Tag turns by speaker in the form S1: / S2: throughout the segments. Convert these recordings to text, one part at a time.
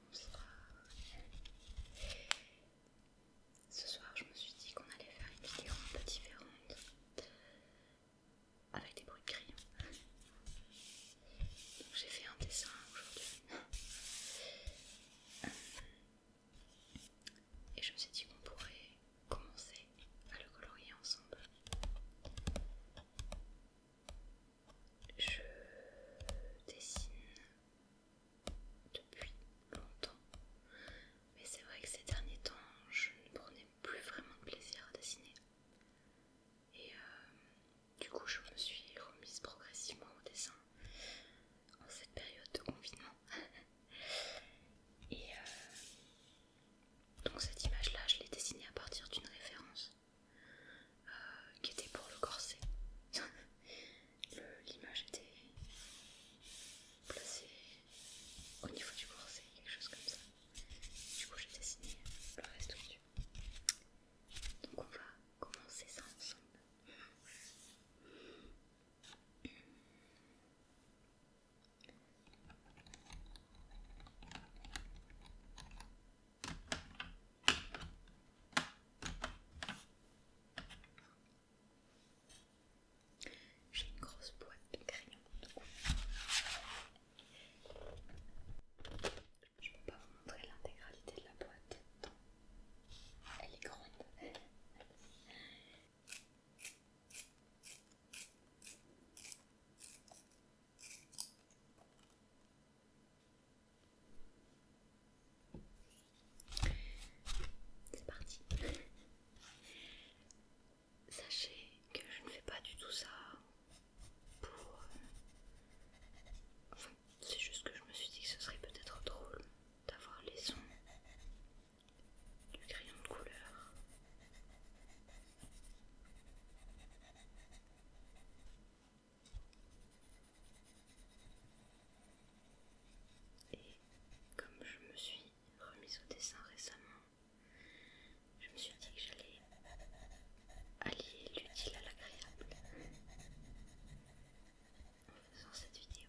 S1: Bonsoir. Ce soir, je me suis dit qu'on allait faire une vidéo un peu différente avec des bruits de crayon. Donc j'ai fait un dessin aujourd'hui. Et je me suis dit qu'on pourrait commencer à le colorier ensemble. Je dessine depuis longtemps, mais c'est vrai que ces derniers temps, je ne prenais plus vraiment de plaisir à dessiner. Et euh, du coup, je me suis remise progressivement au dessin en cette période de confinement. Et euh, donc cette image-là, je l'ai dessinée à partir d'une référence euh, qui était pour le corset. L'image était placée au niveau du corset, quelque chose comme ça. Du coup, j'ai dessiné le reste dessus Donc on va commencer ça ensemble. J'ai une grosse boîte de crayons. Je peux pas vous montrer l'intégralité de la boîte. Elle est grande. C'est parti. Sachez que je ne fais pas du tout ça pour... Euh, c'est juste que je me suis dit que ce serait peut-être drôle d'avoir les sons du crayon de couleur. Et comme je me suis remise au dessin récemment, je me suis dit que j'allais allier l'utile à l'agréable en faisant cette vidéo.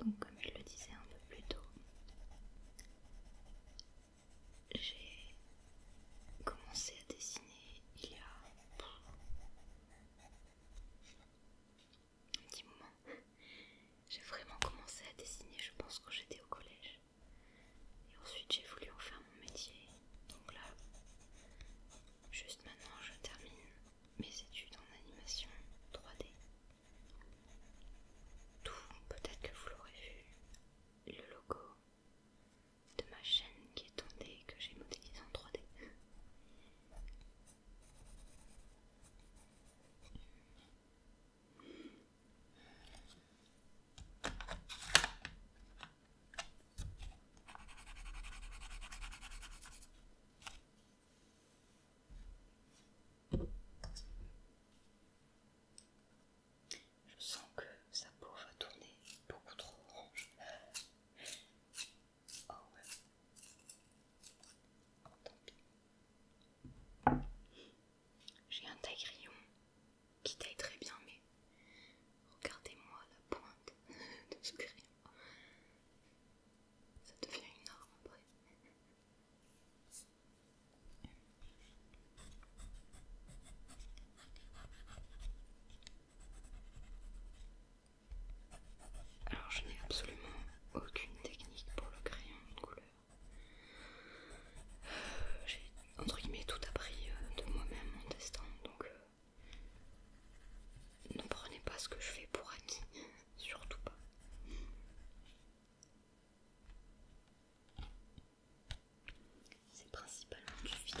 S1: Donc comme je le disais un peu plus tôt, j'ai commencé à dessiner il y a un petit moment. J'ai vraiment commencé à dessiner, je pense, quand j'étais au collège. Et ensuite j'ai voulu en faire mon métier. Donc là, juste maintenant, je termine mes études en animation 3D peut-être que vous l'aurez vu, le logo de ma chaîne qui est tombée que j'ai modélisé en 3D. Je sens que sa peau va tourner beaucoup trop orange. Oh ouais. Oh, tant pis. J'ai un taille crayon qui taille très bien, mais regardez-moi la pointe de ce crayon, Ça devient une après. Alors je n'ai absolument aucune technique pour le crayon de couleur. Euh, j'ai entre guillemets tout appris euh, de moi-même en testant, donc euh, ne prenez pas ce que je fais pour acquis. Surtout pas. C'est principalement du film.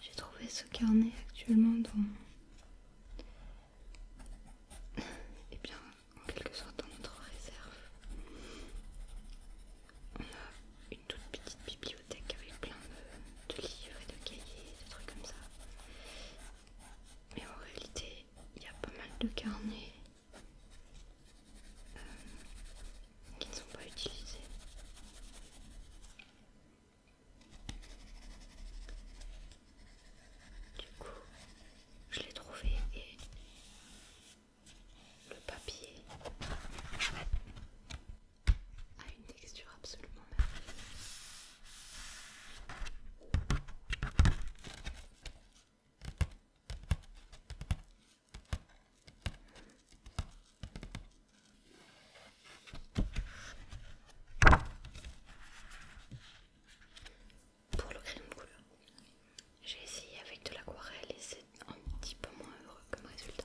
S1: J'ai trouvé ce carnet actuellement dans... Eh bien, en quelque sorte dans notre réserve. On a une toute petite bibliothèque avec plein de, livres et de cahiers, des trucs comme ça. Mais en réalité, il y a pas mal de carnets euh, qui ne sont pas utilisés. Du coup, je l'ai trouvé et le papier a une texture absolument merveilleuse pour le crayon de couleur. J'ai essayé avec de l'aquarelle et c'est un petit peu moins heureux comme résultat.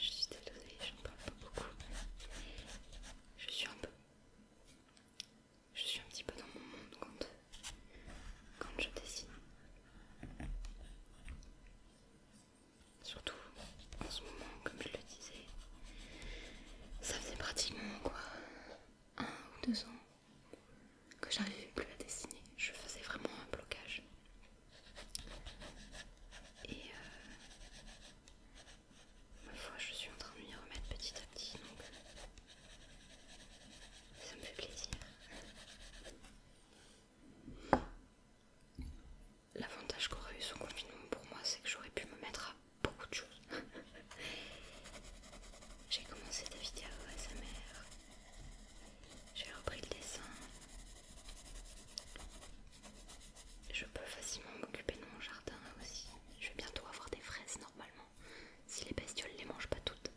S1: Je suis désolée, ne parle pas beaucoup. Je suis un peu. Je suis un petit peu dans mon monde quand, quand je dessine. Surtout en ce moment, comme je le disais, ça faisait pratiquement quoi un ou deux ans que j'arrivais plus à dessiner. Je faisais vraiment un blocage. Et euh, ma foi, je suis en train de m'y remettre petit à petit, donc ça me fait plaisir. L'avantage qu'aurait eu son confinement pour moi, c'est que j'aurais pu me mettre à beaucoup de choses. j'ai commencé à sa mère, j'ai repris le dessin, je peux facilement m'occuper de mon jardin aussi. Je vais bientôt avoir des fraises normalement, si les bestioles les mangent pas toutes.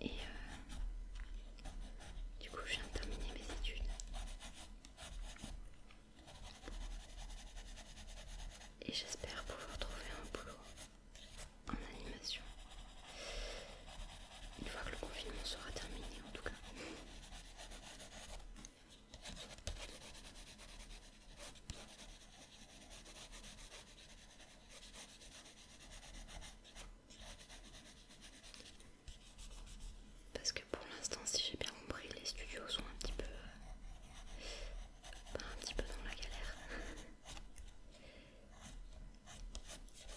S1: Et euh, du coup, je viens de terminer mes études. Et j'espère pouvoir trouver un boulot en animation une fois que le confinement sera terminé en tout cas parce que pour l'instant si j'ai bien compris les studios sont un petit peu euh, un petit peu dans la galère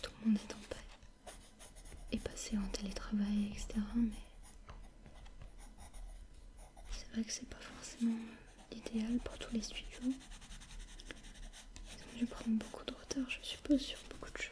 S1: Tout le monde est en paix. Et passé en télétravail, etc. Mais c'est vrai que c'est pas forcément l'idéal pour tous les studios. Ils ont dû prendre beaucoup de retard, je suppose, sur beaucoup de choses.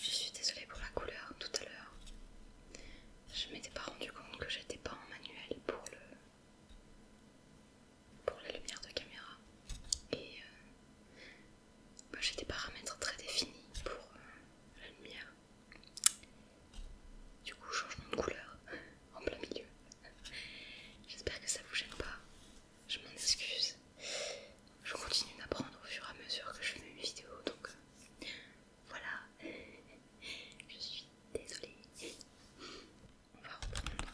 S1: Je suis désolée pour la couleur tout à l'heure. Je m'étais pas rendu compte que j'étais pas en manuel pour le pour la lumière de caméra et euh, bah, j'ai des paramètres très définis pour euh, la lumière. Du coup changement de couleur en plein milieu. J'espère que ça vous gêne pas. Je m'en excuse. Je continue d'apprendre au fur et à mesure que je fais mes vidéos donc euh, voilà, je suis désolée. On va reprendre.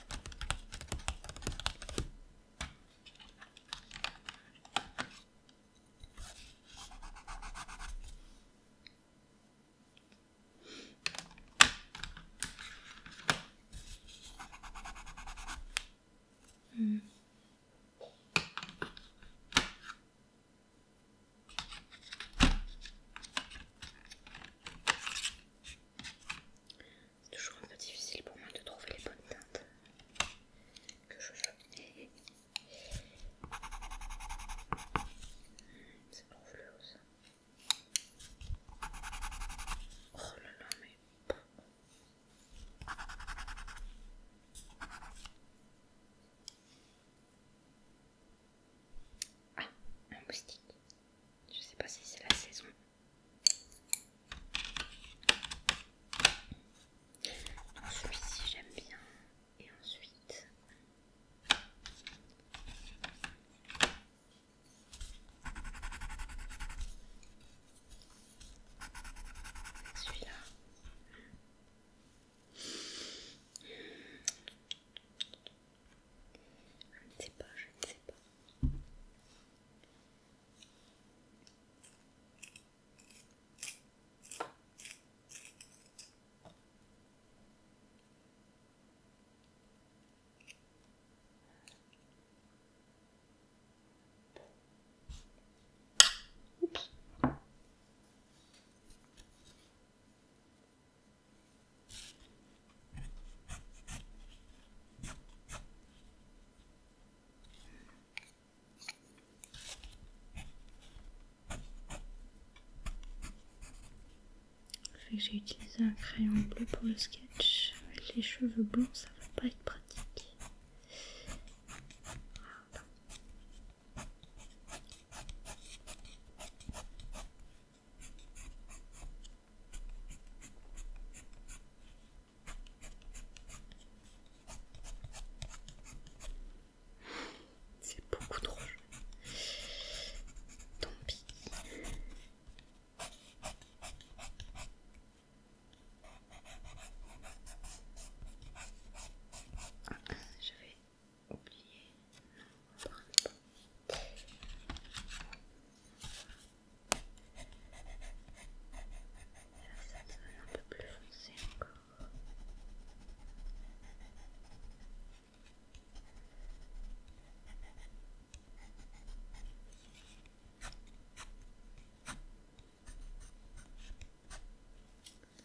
S1: Hmm. C'est toujours un peu difficile pour moi de trouver les bonnes teintes que je veux. C'est trop flou ça. Oh là là, mais. Ah, un moustique. Je sais pas si c'est la saison. Celui-ci j'aime bien. Et ensuite... Celui-là. Je ne sais pas, je ne sais pas. J'ai utilisé un crayon bleu pour le sketch. les cheveux blancs, ça va pas être pratique. C'est beaucoup trop Tant pis. Ah, je vais oublier. Non, on va ça devient un peu plus foncé encore.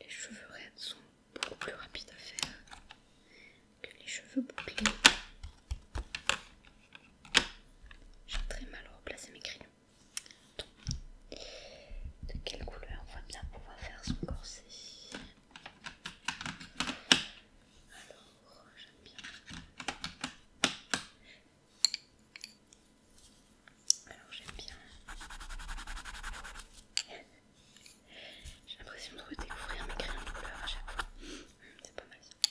S1: Les cheveux raides sont beaucoup plus rapides à faire que les cheveux bouclés. J'ai très mal replacer mes crayons de quelle couleur on va bien pouvoir faire son corset Alors, j'aime bien. Alors, j'aime bien. J'ai l'impression de redécouvrir mes crayons de couleur à chaque fois. C'est pas mal ça.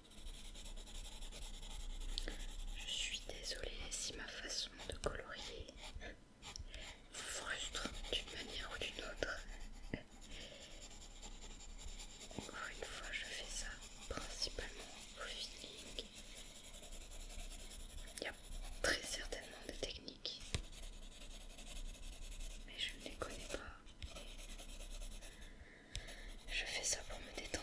S1: Je suis désolée si ma façon de colorier vous frustre d'une manière ou d'une autre. Encore une fois, je fais ça principalement au feeling. Il y a très certainement des techniques, mais je ne les connais pas. Je fais ça pour me détendre.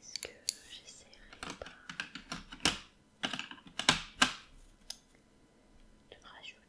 S1: Est-ce que j'essaierai pas de rajouter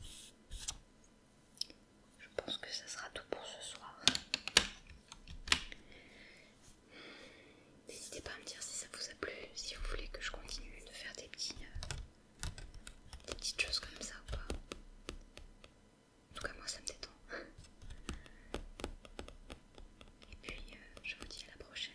S1: Je pense que ça sera tout pour ce soir. N'hésitez pas à me dire si ça vous a plu, si vous voulez que je continue de faire des, petits, euh, petites choses comme ça ou pas. En tout cas, moi ça me détend. Et puis, euh, je vous dis à la prochaine.